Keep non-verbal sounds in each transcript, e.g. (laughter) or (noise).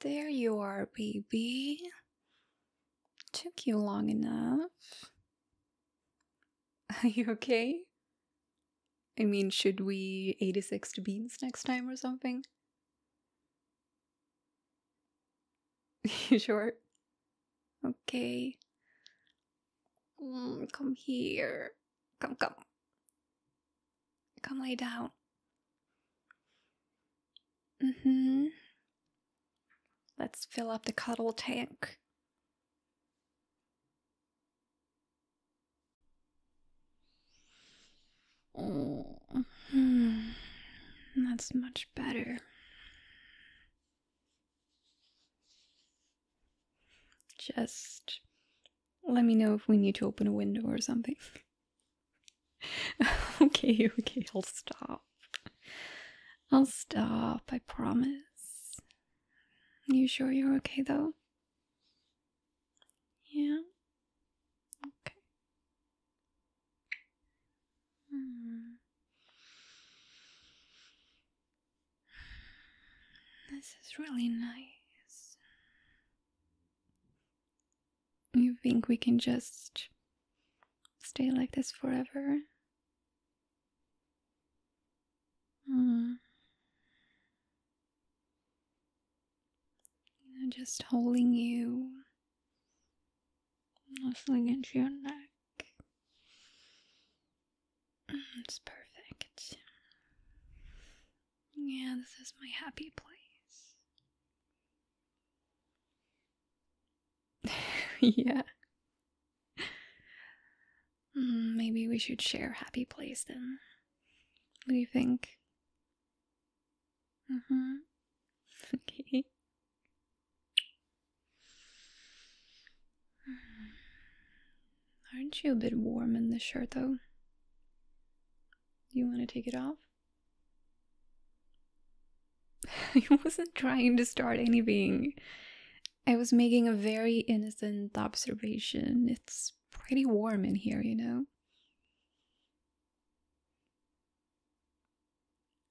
There you are, baby. Took you long enough. (laughs) Are you okay? I mean, should we 86 to beans next time or something? (laughs) You sure? Okay. Mm, come here. Come, come. Come lay down. Mm hmm. Let's fill up the cuddle tank. Mm-hmm. that's much better. Just let me know if we need to open a window or something. (laughs) okay, okay, I'll stop. I'll stop, I promise. You sure you're okay though? Yeah. Okay. Hmm. This is really nice. You think we can just stay like this forever? Hmm. just holding you, nuzzling into your neck. Mm, it's perfect. Yeah, this is my happy place. (laughs) yeah. Mm, maybe we should share happy place then. What do you think? Mm-hmm. (laughs) Okay. (sighs) Aren't you a bit warm in this shirt though? You want to take it off? I (laughs) wasn't trying to start anything. I was making a very innocent observation. It's pretty warm in here, you know?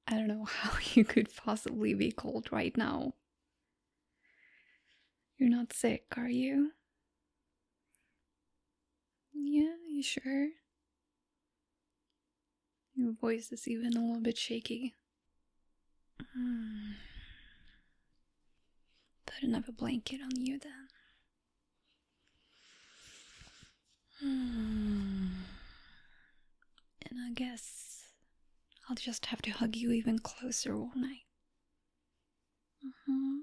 I don't know (laughs) how you could possibly be cold right now. You're not sick, are you? Yeah, you sure? Your voice is even a little bit shaky. Hmm. Put another blanket on you then. (sighs) and I guess I'll just have to hug you even closer, all night. Mm-hmm.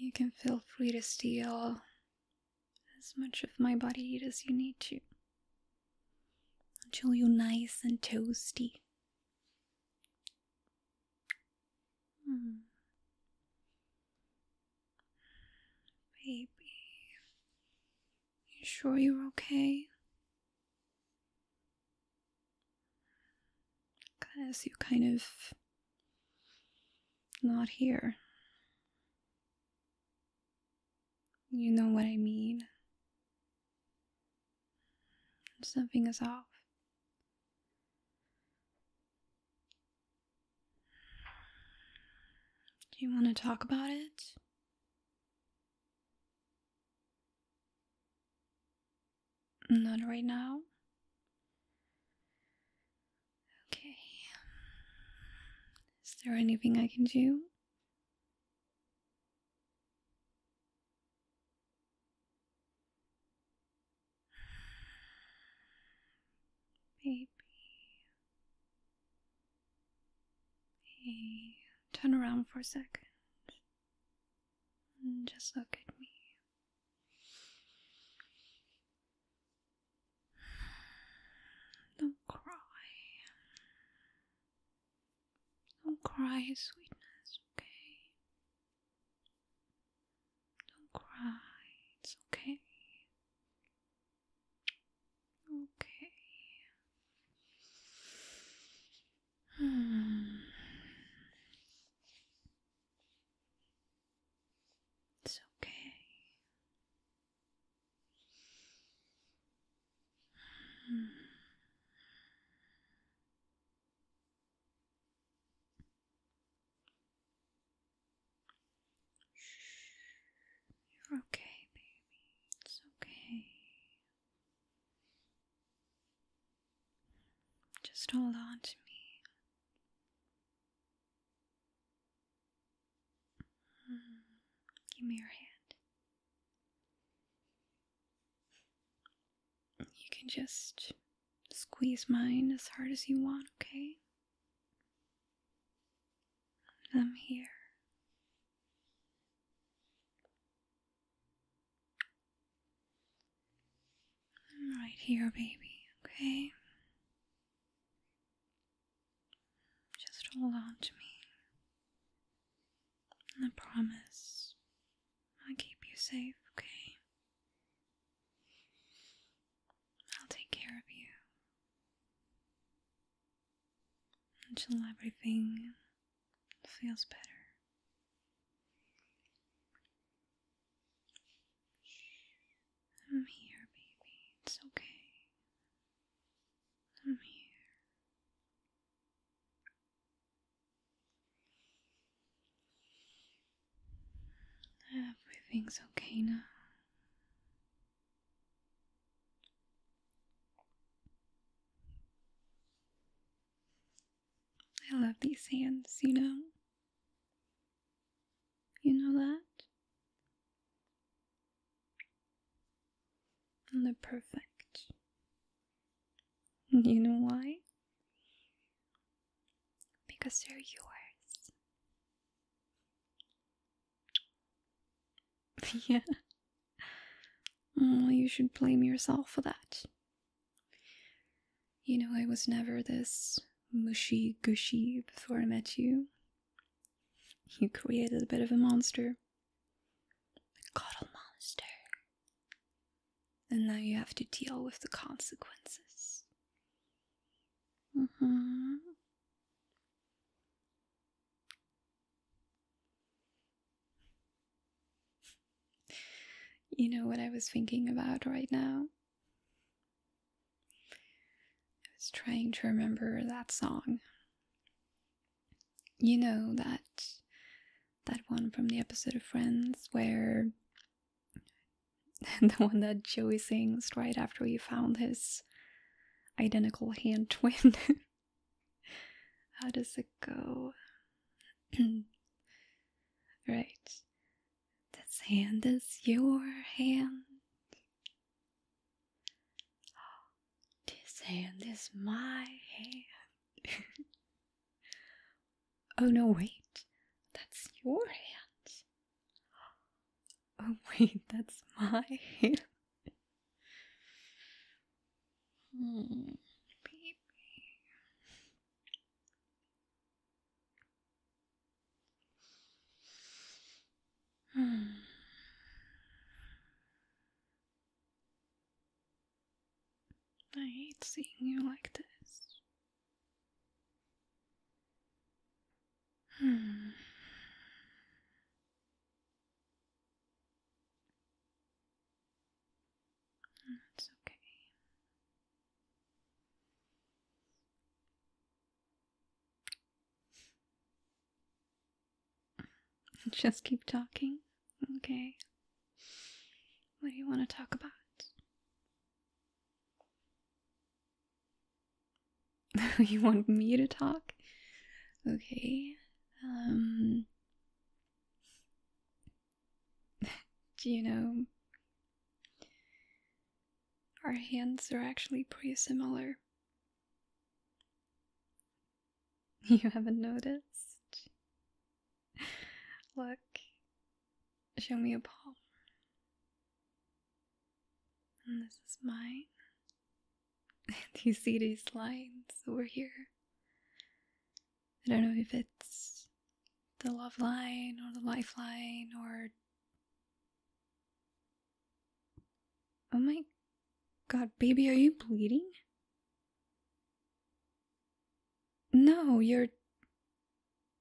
You can feel free to steal as much of my body as you need to until you're nice and toasty. Hmm. Baby, you sure you're okay? Because you're kind of not here. You know what I mean. Something is off. Do you want to talk about it? Not right now. Okay. Is there anything I can do? Baby. Hey, turn around for a second. And just look at me. Don't cry. Don't cry, sweetness, okay? Don't cry, it's okay. Okay. Hmm. It's okay. Hmm. You're okay, baby. It's okay. Just hold on to me. Mm-hmm. Give me your hand. You can just squeeze mine as hard as you want, okay? I'm here. I'm right here, baby, okay? Just hold on to me. And I promise I'll keep you safe, okay? I'll take care of you until everything feels better. I'm here, baby. It's okay. I'm here. Everything's okay now. I love these hands, you know. You know that? And they're perfect. You know why? because they're yours. (laughs) yeah. Oh, you should blame yourself for that. You know, I was never this mushy gushy before I met you. You created a bit of a monster. A cuddle monster and now you have to deal with the consequences. Mm-hmm. You know what I was thinking about right now? I was trying to remember that song. You know that that one from the episode of Friends where (laughs) the one that Joey sings right after he found his identical hand (laughs) twin. How does it go? (clears throat) right. This hand is your hand. (gasps) This hand is my hand. (laughs) Oh no, wait, that's your hand. Oh (laughs) wait, that's my hand. Hmm, baby. Hmm. I hate seeing you like this. Hmm. okay. (laughs) Just keep talking. Okay. What do you want to talk about? (laughs) you want me to talk? Okay. Um, (laughs) do you know our hands are actually pretty similar? (laughs) You haven't noticed? Look, Show me a palm. And this is mine. (laughs) Do you see these lines over here? I don't know if it's the love line or the lifeline or. Oh my god, baby, are you bleeding? No, you're.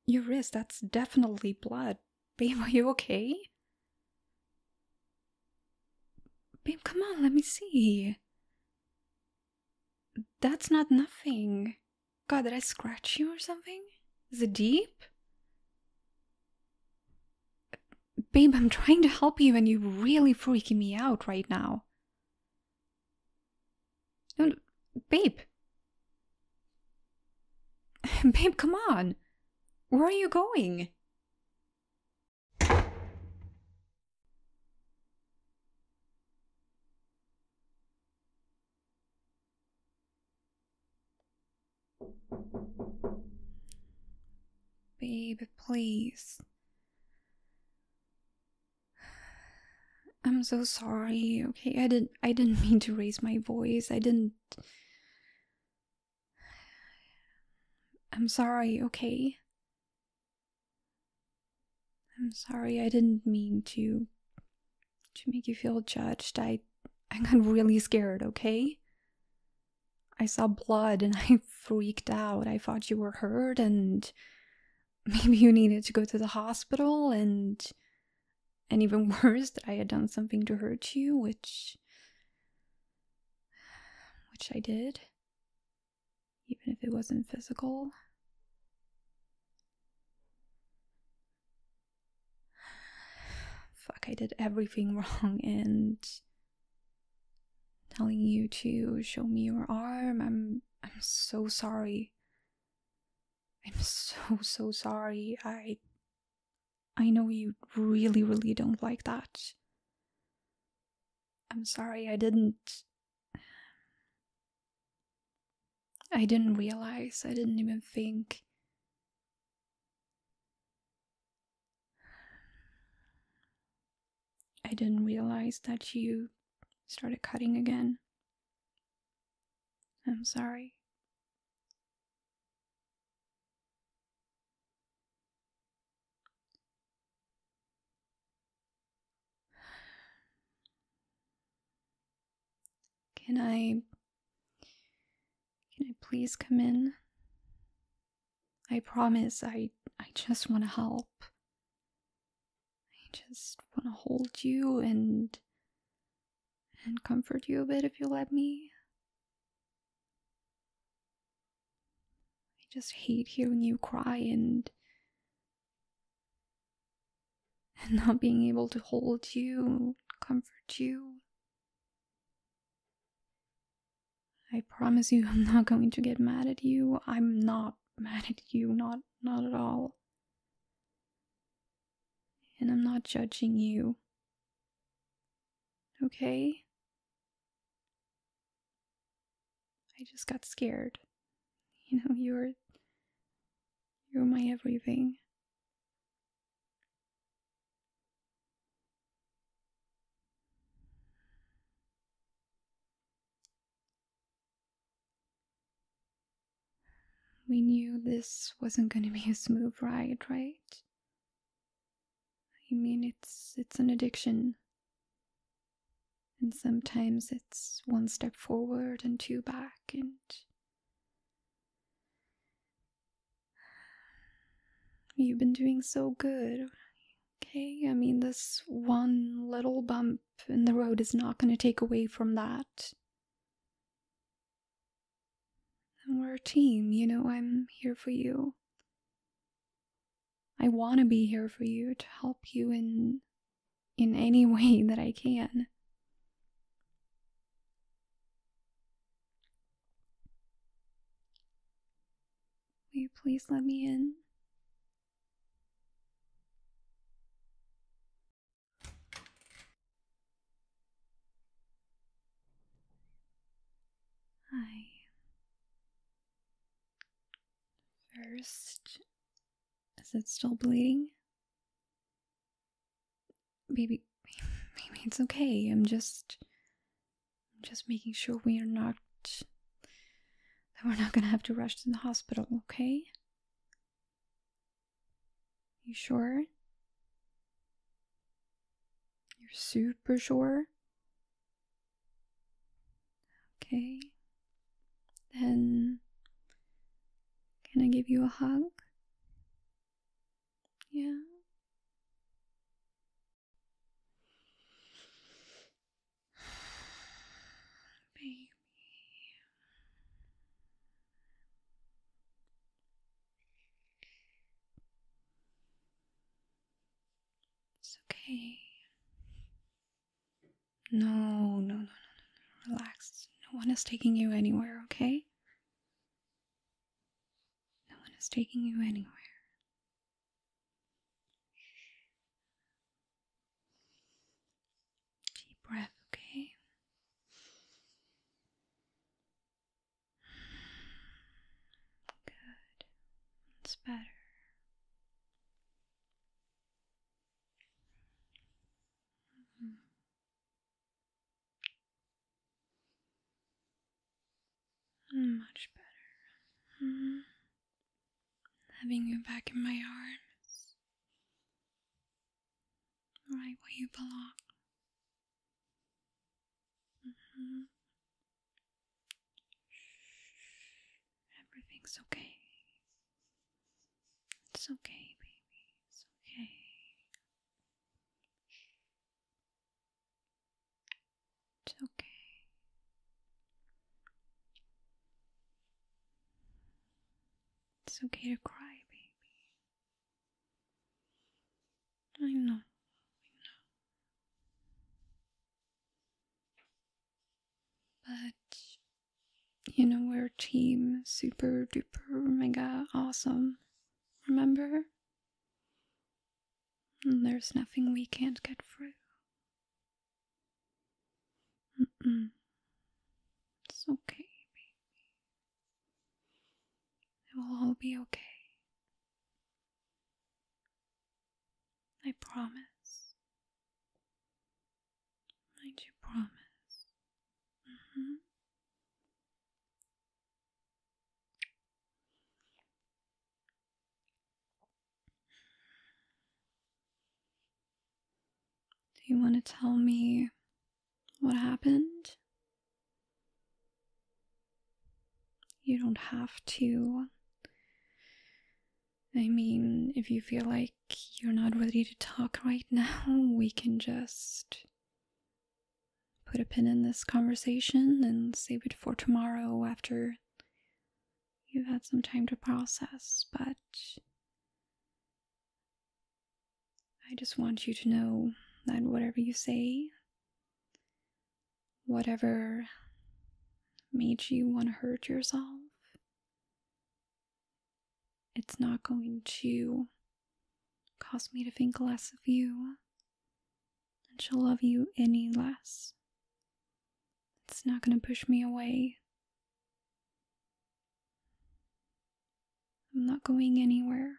Your wrist, that's definitely blood. Babe, are you okay? Babe, come on, let me see. That's not nothing. God, did I scratch you or something? Is it deep? Babe, I'm trying to help you and you're really freaking me out right now. And, babe. (laughs) babe, come on. Where are you going? Babe, please. I'm so sorry. Okay, I didn't I didn't mean to raise my voice. I didn't I'm sorry, okay? I'm sorry. I didn't mean to to make you feel judged. I I got really scared, okay? I saw blood and (laughs) I freaked out. I thought you were hurt and (laughs) maybe you needed to go to the hospital and and even (laughs) worse that i had done something to hurt you which which i did even if it wasn't physical (sighs) fuck i did everything (laughs) wrong and telling you to show me your arm i'm i'm so sorry I am so so sorry. I I know you really really don't like that. I'm sorry I didn't I didn't realize. I didn't even think. I didn't realize that you started cutting again. I'm sorry. Can I can I please come in? I promise I I just want to help. I just want to hold you and and comfort you a bit if you let me. I just hate hearing you cry and and not being able to hold you, comfort you. I promise you, I'm not going to get mad at you. I'm not mad at you, not not at all. And I'm not judging you. Okay? I just got scared. (laughs) You know, you're you're my everything. We knew this wasn't gonna be a smooth ride, right? I mean, it's it's an addiction. And sometimes it's one step forward and two back, and (sighs) you've been doing so good. Okay, I mean, this one little bump and the road is not going to take away from that. And we're a team, you know, I'm here for you. I want to be here for you to help you in in any (laughs) way that I can. Will you please let me in? I first, is it still bleeding? Maybe, (laughs) maybe it's okay. I'm just, just making sure we are not that we're not gonna have to rush to the hospital, okay? You sure? You're super sure? Okay. Then, can I give you a hug? Yeah. Baby. It's okay. No, no, no, no, no, Relax. No one is taking you anywhere, okay? No one is taking you anywhere. Deep breath, okay? Good. That's better. Mm-hmm. Mm, much better. Mm-hmm having you back in my arms, right where you belong. Mm-hmm. Everything's okay. It's okay, baby. It's okay. It's okay. It's okay to cry, baby. I know, I know. But you know, we're team super duper mega awesome. Remember? there's nothing we can't get through. It's okay, baby. It will all be okay. I promise. Might you promise? Mm-hmm. Do you want to tell me what happened? You don't have to. I mean, if you feel like you're not ready to talk right now, (laughs) we can just put a pin in this conversation and save it for tomorrow after you've had some time to process, but I just want you to know that whatever you say, whatever made you want to hurt yourself, it's not going to cause me to think less of you and she'll love you any less. It's not going to push me away. I'm not going anywhere.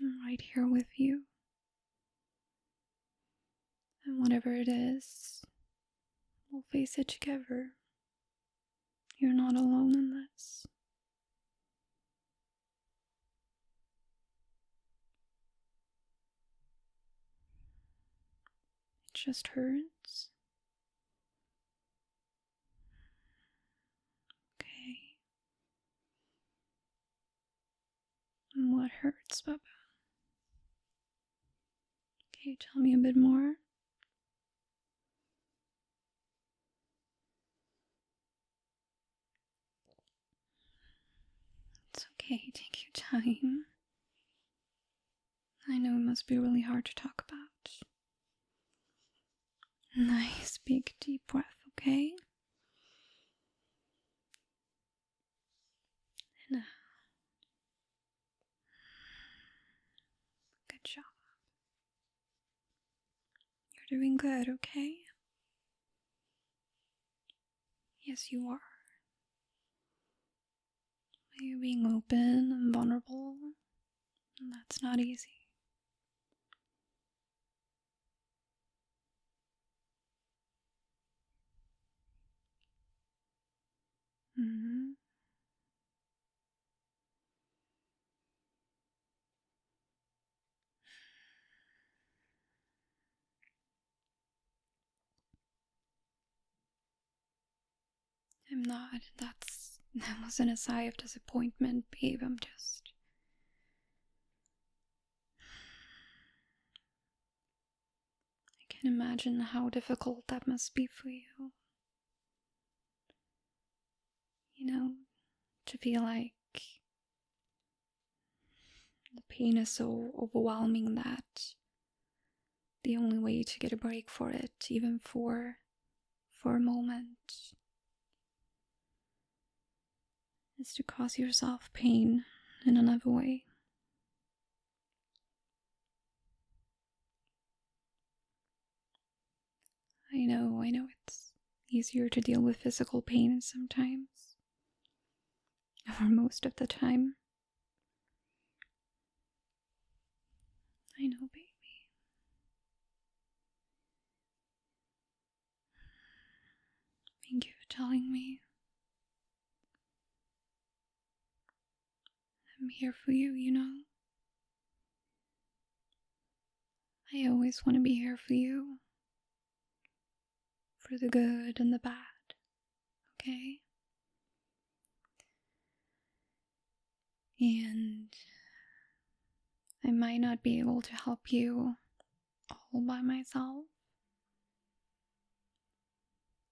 I'm right here with you. And whatever it is, we'll face it together. You're not alone in this. It just hurts. Okay. what hurts, Baba? Okay, tell me a bit more. It's okay, take your time. I know it must be really hard to talk about. Nice big deep breath, okay? Uh, good job. You're doing good, okay? Yes, you are. You're being open and vulnerable, and that's not easy. Mm-hmm. I'm not. That's that wasn't a sigh of disappointment, babe. I'm just I can imagine how difficult that must be for you. You know, to be like the pain is so overwhelming that the only way to get a break for it, even for for a moment, is to cause yourself pain in another way. I know, I know it's easier to deal with physical pain sometimes. (laughs) Or most of the time. I know, baby. Thank you for telling me. I'm here for you, you know. I always want to be here for you. For the good and the bad, okay? And I might not be able to help you all by myself.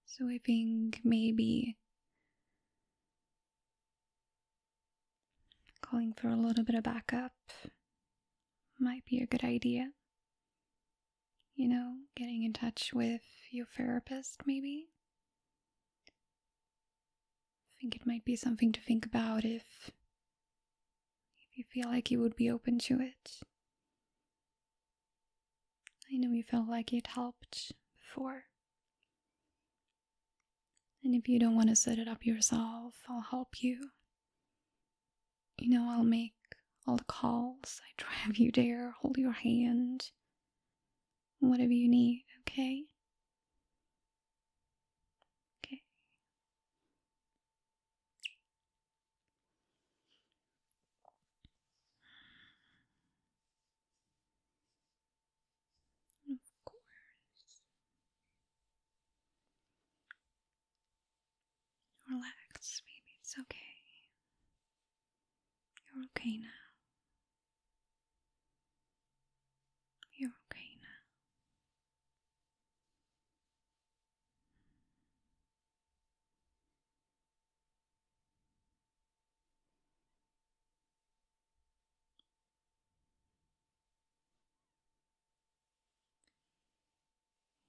So I think maybe Calling for a little bit of backup might be a good idea. You know, getting in touch with your therapist, maybe? I think it might be something to think about if, if you feel like you would be open to it. I know you felt like it helped before. And if you don't want to set it up yourself, I'll help you. You know, I'll make all the calls, I drive you there, hold your hand, whatever you need, okay? Okay. Of course. Relax, baby. It's okay. You're okay now. You're okay now.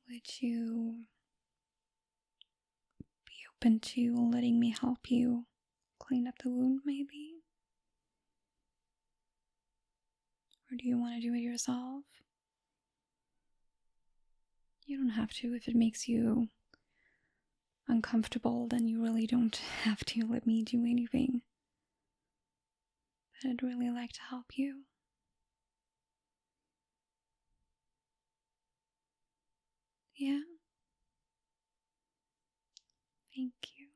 Would you be open to letting me help you clean up the wound, maybe? Or do you want to do it yourself? You don't have to. If it makes you uncomfortable, then you really don't (laughs) have to let me do anything but I'd really like to help you. Yeah? Thank you.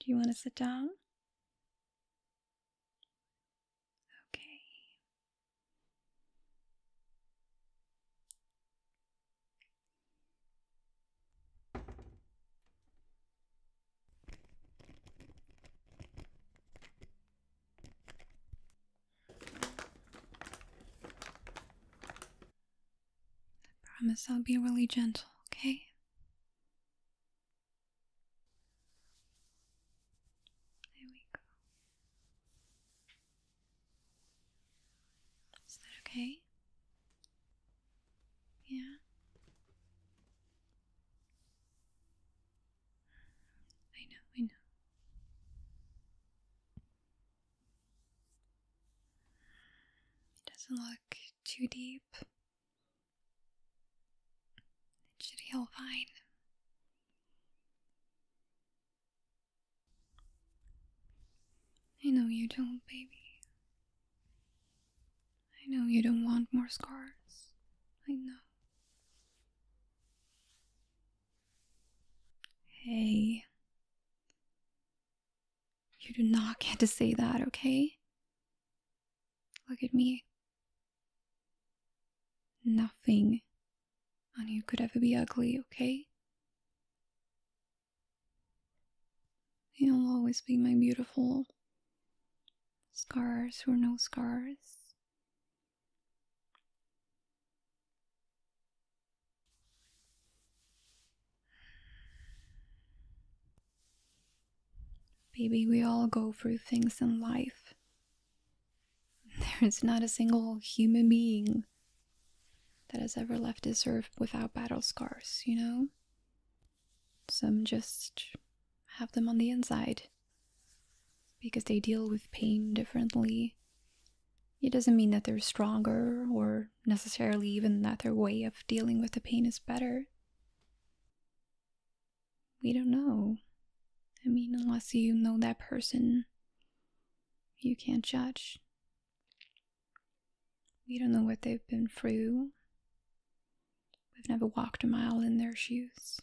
Do you want to sit down? Okay. I promise I'll be really gentle, okay? There we go. Is that okay? Yeah. I know, I know. It doesn't look too deep. It should heal fine. I know you don't, baby. I know you don't want more scars. I know. Hey. You do not get to say that, okay? Look at me. Nothing on you could ever be ugly, okay? You'll always be my beautiful scars or no scars. Baby, we all go through things in life. (laughs) There's not a single human being that has ever left his earth without battle scars, you know? Some just have them on the inside because they deal with pain differently. It doesn't mean that they're stronger or necessarily even that their way of dealing with the pain is better. We don't know. I mean, unless you know that person, you can't judge. We don't know what they've been through. We've never walked a mile in their shoes.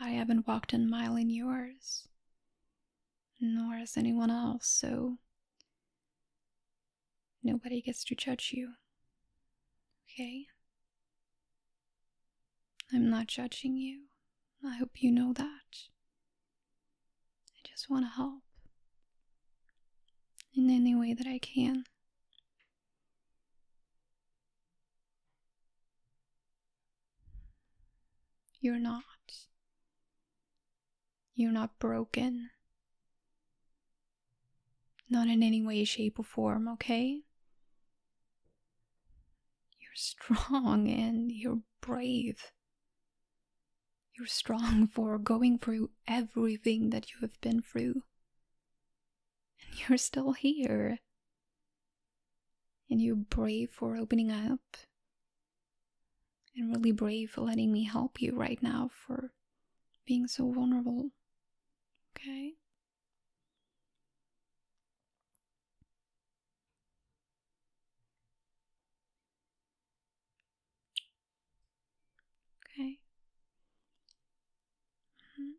I haven't walked a mile in yours, nor has anyone else, so nobody gets to judge you. Okay? I'm not judging you. I hope you know that. I just want to help in any way that I can. You're not. You're not broken. Not in any way, shape, or form, okay? You're strong and you're brave. You're strong (laughs) for going through everything that you have been through. And you're still here. And you're brave for opening up. And really brave for letting me help you right now for being so vulnerable. Okay? Okay. -hmm.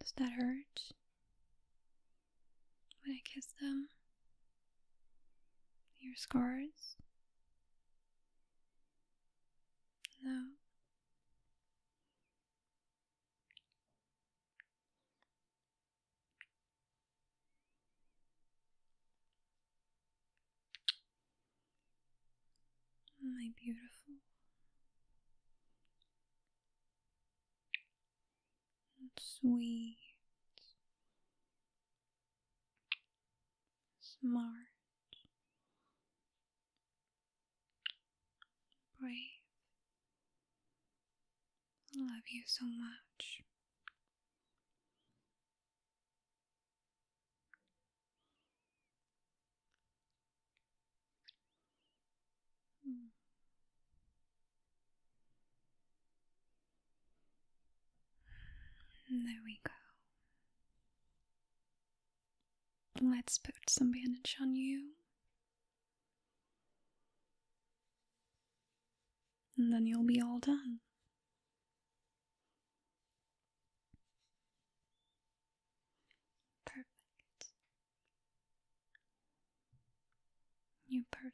Does that hurt when I kiss them? Your scars? No. My beautiful. sweet, smart, Breathe. I love you so much. Hmm. There we go. Let's put some bandage on you. And then you'll be all done. Perfect. You perfect.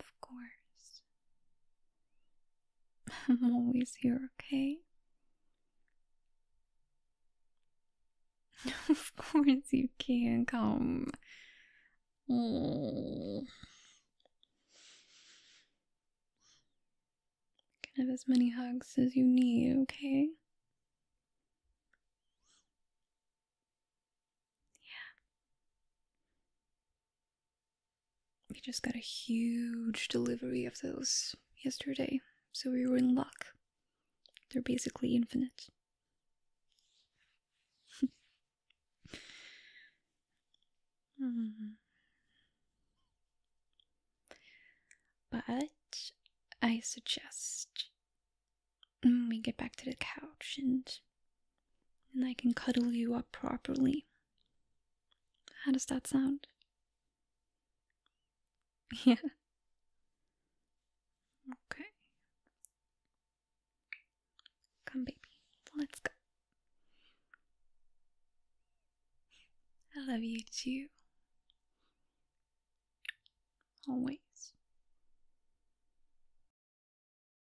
Of course. (laughs) I'm always here, okay? (laughs) of course you can come. Oh. You can have as many hugs as you need, okay? Yeah. We just got a huge delivery of those yesterday, so we were in luck. They're basically infinite. (laughs) But I suggest we get back to the couch and and I can cuddle you up properly. How does that sound? (laughs) Yeah. Okay. Come, baby. Let's go. I love you too. Always.